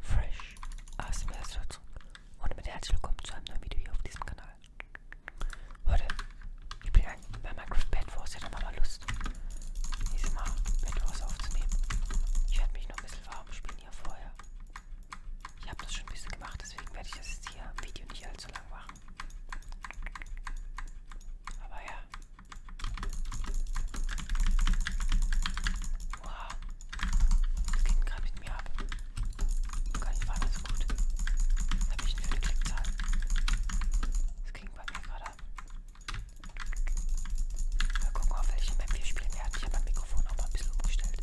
Fresh ASMR-Situation und mit herzlich willkommen zu einem neuen Video hier auf diesem Kanal. Heute, ich bin eigentlich bei Minecraft Bad Wars, ich hatte mal Lust, dieses Mal Bad Wars aufzunehmen. Ich werde mich noch ein bisschen warm spielen hier vorher. Ich habe das schon ein bisschen gemacht, deswegen werde ich das jetzt hier im Video nicht allzu lang machen. Aber ja. Wow. Das ging gerade mit mir ab. Gar nicht war das gut. Jetzt habe ich eine Klickzahl. Das ging bei mir gerade ab. Mal gucken, auf welche Map wir spielen werden. Ich habe mein Mikrofon auch mal ein bisschen umgestellt.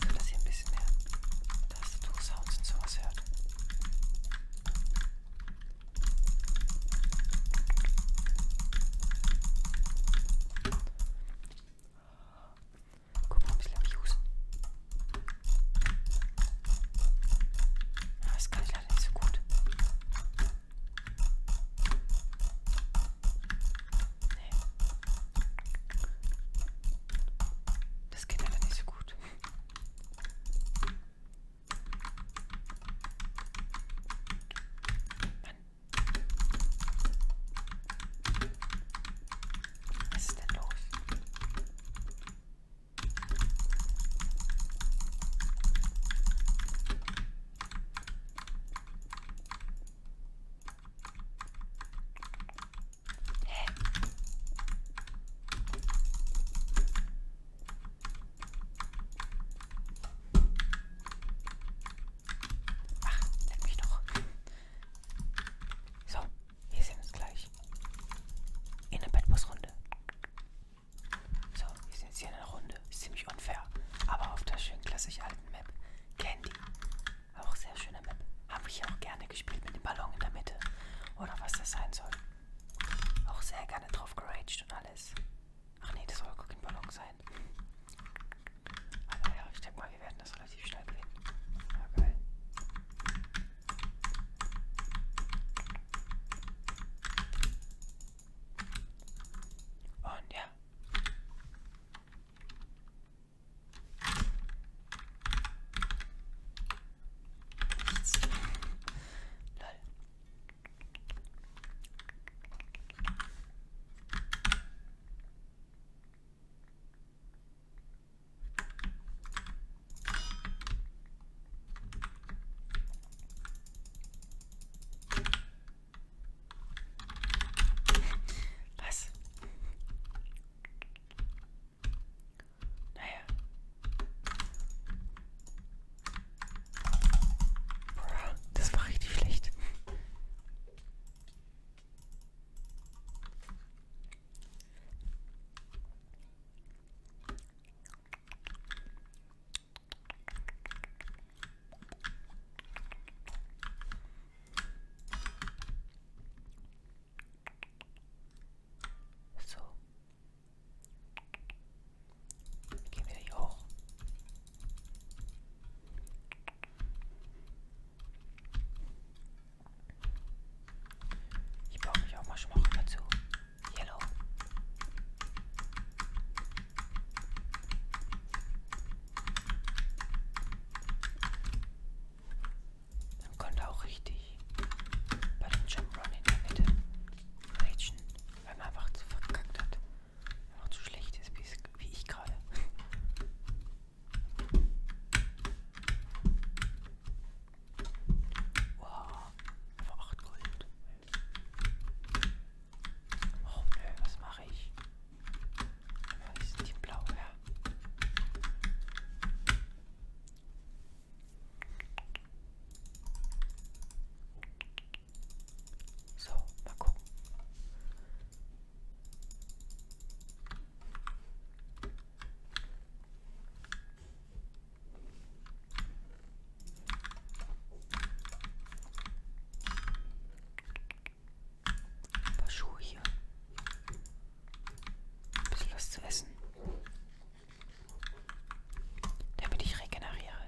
So dass ihr ein bisschen mehr Tastatursounds und sowas hört. Guck mal, ein bisschen ich husten. Aber das kann ich leider nicht so gut. Nee. Das geht leider nicht so gut. Mann. Was ist denn los? Hä? Ach, leck mich doch. So, wir sehen uns gleich. In der Bettbusrunde. So, wir sind jetzt hier in einer Runde. Ist ziemlich unfair. Aber auf der schönen klassisch alten Map. Candy. Auch sehr schöne Map. Habe ich auch gerne gespielt mit dem Ballon in der Mitte. Oder was das sein soll. Auch sehr gerne drauf geraged und alles. Ach nee, das soll gar kein Ballon sein sein. Aber ah, ja, ich denke mal, wir werden das relativ schnell gewinnen. Ja, geil. Und ja. Nichts. Lol. Was? Naja. Das war richtig schlecht. So. Gehen wir hier hoch. Ich brauche mich auch mal schon mal dazu. Yellow. Dann konnte auch richtig bei dem Jump Run in der Mitte rageen, weil man einfach zu verkackt hat noch zu schlecht ist, wie ich gerade. Wow, einfach 8 Gold. Oh nö, was mache ich? Was ist die blaue? Ja. So, mal gucken. Ein paar Schuhe hier. Ein bisschen was zu essen. Damit ich regeneriere.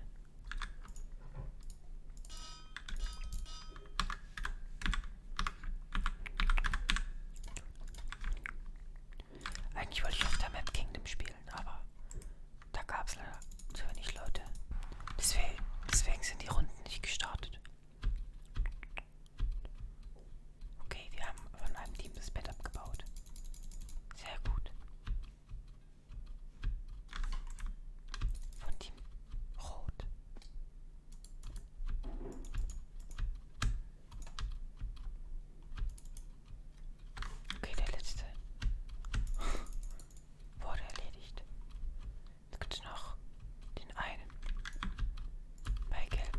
Eigentlich wollte ich auf der Map Kingdom spielen, aber da gab es leider zu wenig Leute. Deswegen, deswegen sind die Runden nicht gestartet. Okay, wir haben von einem Team das Bett abgebaut. Sehr gut. Von Team Rot. Okay, der letzte wurde erledigt. Jetzt gibt es noch den einen bei Gelb.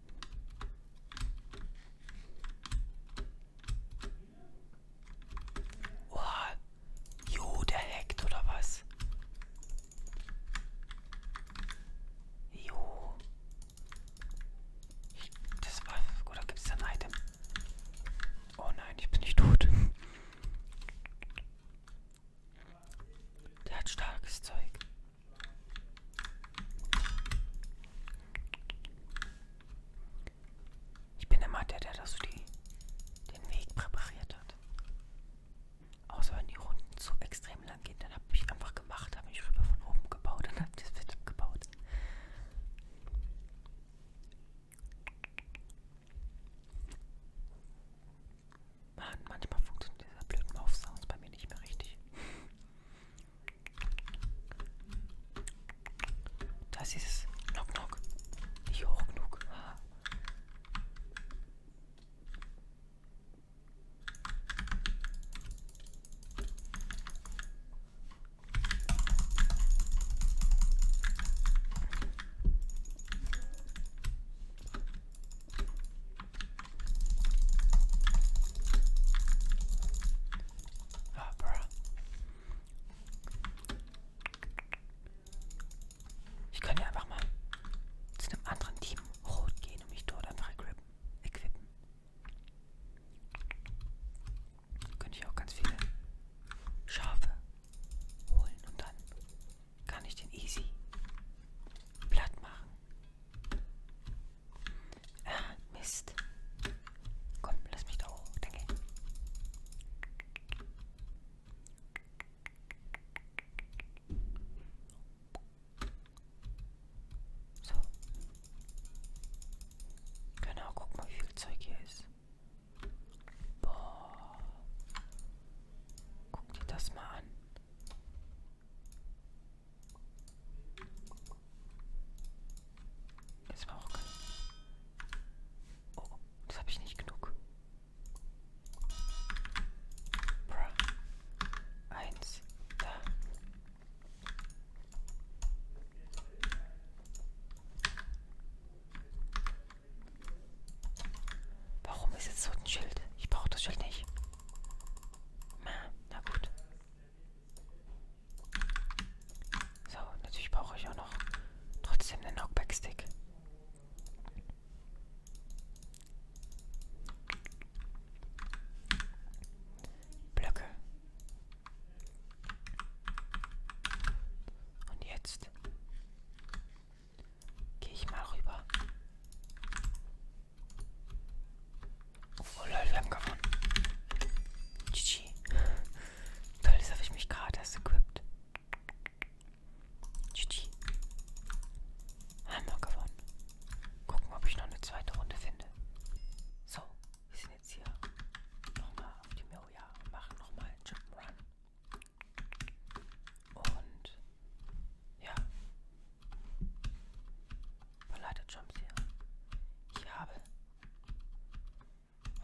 Oh, jo, der hackt oder was? Jo. Ich, das war. Oder gibt es da ein Item? Oh nein, ich bin nicht tot. Der hat starkes Zeug. Ich bin immer der, der das so die, den Weg präpariert hat. Außer wenn die Runden zu extrem lang gehen, dann habe ich einfach gemacht, habe mich rüber von oben gebaut und habe das Bett abgebaut. Man, manchmal funktioniert dieser blöden Laufsound bei mir nicht mehr richtig. Da ist dieses Knock Knock. Nicht hoch genug. Ah. Ah, bruh. Ich kann ja einfach mal zu einem anderen Team rot gehen und mich dort einfach equippen. Könnte ich auch ganz viele Schafe holen und dann kann ich den easy platt machen. Ah, Mist. Komm, lass mich da hoch. Danke. So. Genau, guck mal, wie viel Zeug hier ist. Boah. Guck dir das mal an. Jetzt war auch kein... Oh, das habe ich nicht genug. Bruh. Eins. Da. Warum ist jetzt so ein Schild? Ich brauche das Schild nicht. Na gut. So, natürlich brauche ich auch noch trotzdem den Knockback-Stick. Blöcke. Und jetzt gehe ich mal rüber Oh lol, wir haben gewonnen. GG. Toll, das habe ich mich gerade erst equipped. GG. Haben wir gewonnen. Gucken, ob ich noch eine zweite Runde finde. So, wir sind jetzt hier nochmal auf die Miroja und machen nochmal einen Jump'n'Run. Und ja, Verleitet Jumps hier. Ich habe.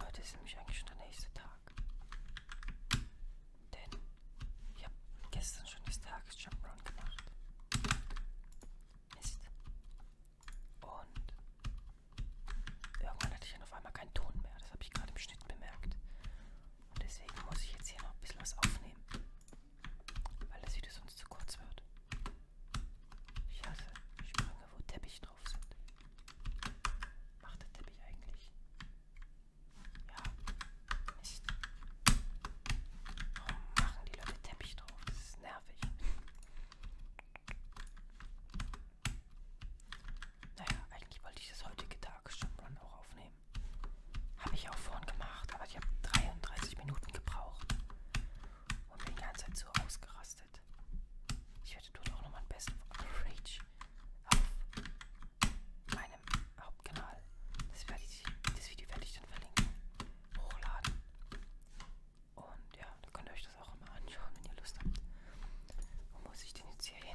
Heute ist nämlich eigentlich schon der nächste Tag. Denn ich habe gestern schon das Tages Jump Run gemacht. Mist. Und irgendwann hatte ich dann auf einmal keinen Ton mehr. Das habe ich gerade im Schnitt bemerkt. Und deswegen muss ich jetzt hier noch ein bisschen was aufnehmen weil das Video sonst zu kurz wird. Ich hasse Sprünge, wo Teppiche drauf sind. Macht der Teppich eigentlich? Ja, Mist. Warum machen die Leute Teppich drauf? Das ist nervig. Naja, eigentlich wollte ich das heutige Tag schon auch aufnehmen. Habe ich auch vorhin gemacht, aber ich habe 33 Minuten gebraucht und bin die ganze Zeit so ausgerastet. Ich werde dort auch nochmal ein Best of Rage auf meinem Hauptkanal. Das, werde ich, das Video werde ich dann verlinken, hochladen. Und ja, da könnt ihr euch das auch immer anschauen, wenn ihr Lust habt. Wo muss ich denn jetzt hier hin?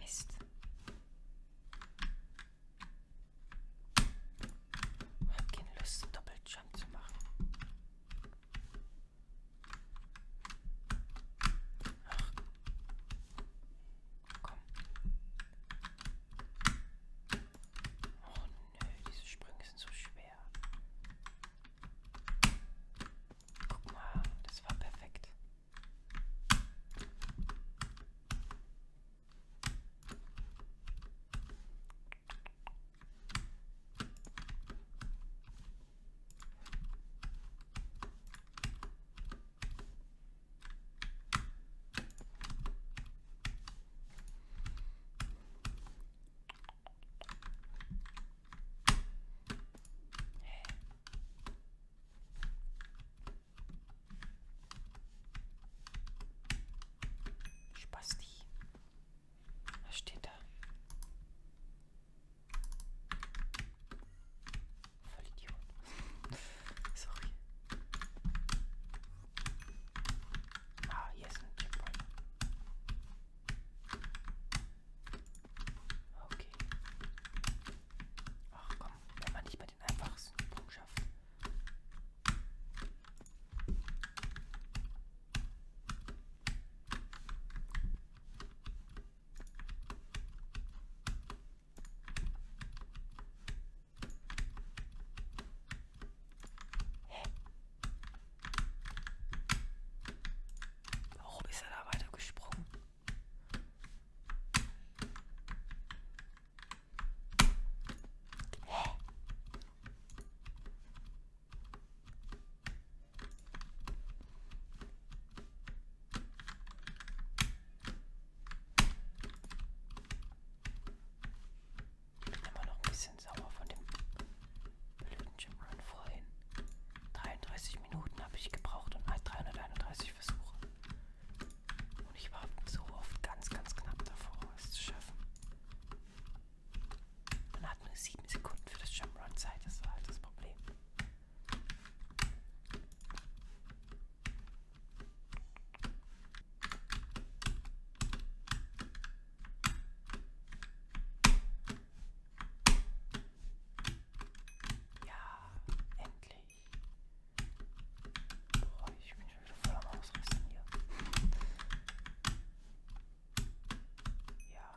Mist. Ich hab keine Lust, einen Doppeljump zu machen. Ach. Komm. Oh nö, diese Sprünge sind so schwer. Guck mal, das war perfekt. Hey, Spasti. Was steht da? Voll Idiot. Sorry. Ah, hier ist ein Checkpoint. Okay. Ach komm, wenn man nicht mal den einfachsten Punkt schafft. Hä? Warum ist er da weiter gesprungen? Hä? Immer noch ein bisschen sauer von dem Bildungsgym Run vorhin. 33 Minuten habe ich gebraucht und 331 halt Versuche. Und ich war so oft ganz, ganz knapp davor, es zu schaffen. Man hat nur 7 Sekunden für das Jump'n'Run Zeit, das war halt das Problem. Ja, endlich. Boah, ich bin schon wieder voll am Ausrasten hier. Ja.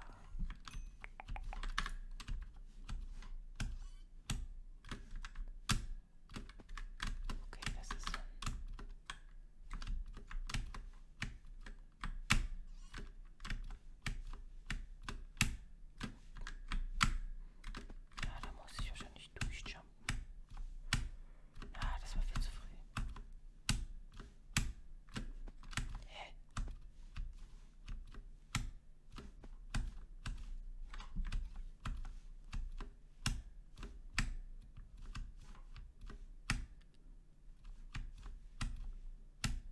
Okay, das ist so ein ja, da muss ich wahrscheinlich durchjumpen. Ja, das war viel zu früh. Hä?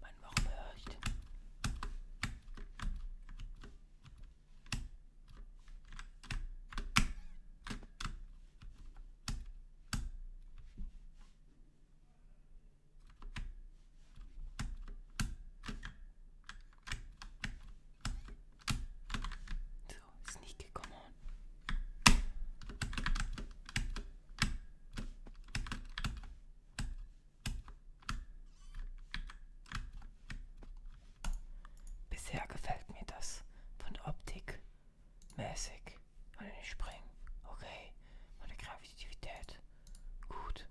Mann, warum höre ich denn? So, Sneaky, come on. Bisher gefällt mir das von Optik mäßig. Und den Springen. Okay. Meine Kreativität Gut.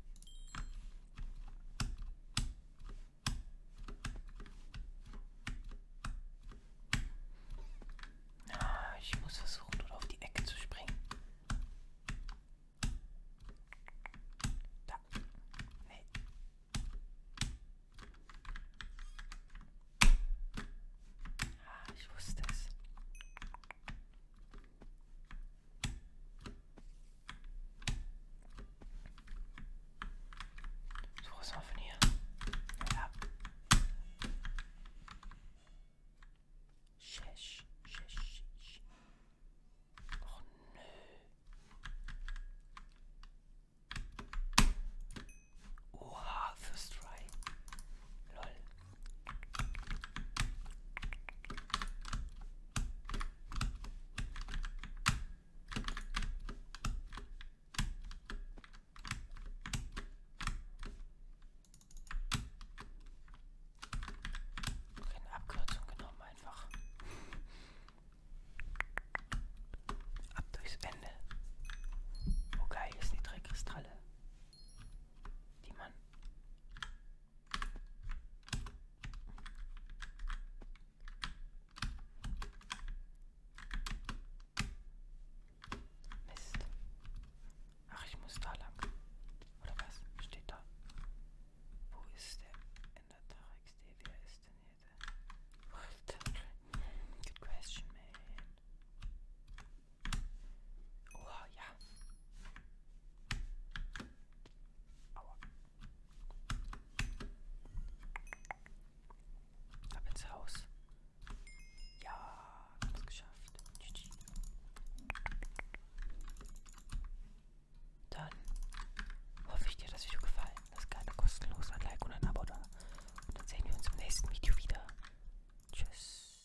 Ah, ich muss versuchen, dort auf die Ecke zu springen. Da. Nee. Ah, ich wusste es. So, was mal von hier? Ja. Shesh, shesh, shesh. Och nö. Oha, First Try. Lol. Keine Abkürzung genommen einfach. Ab durchs Ende. Oh geil, hier sind die drei Kristalle, die man Mist. Ach, ich muss da lang. Oder was? Steht da. Wo ist der? In der TarxD, wer ist denn hier der? Good question, man. Oh ja. Aua. Ab ins Haus. Ja, hab's geschafft. GG. Dann hoffe ich dir das Video gefallen. Das gerne kostenlos ein Like und ein Abo da. Und dann sehen wir uns im nächsten Video wieder. Tschüss.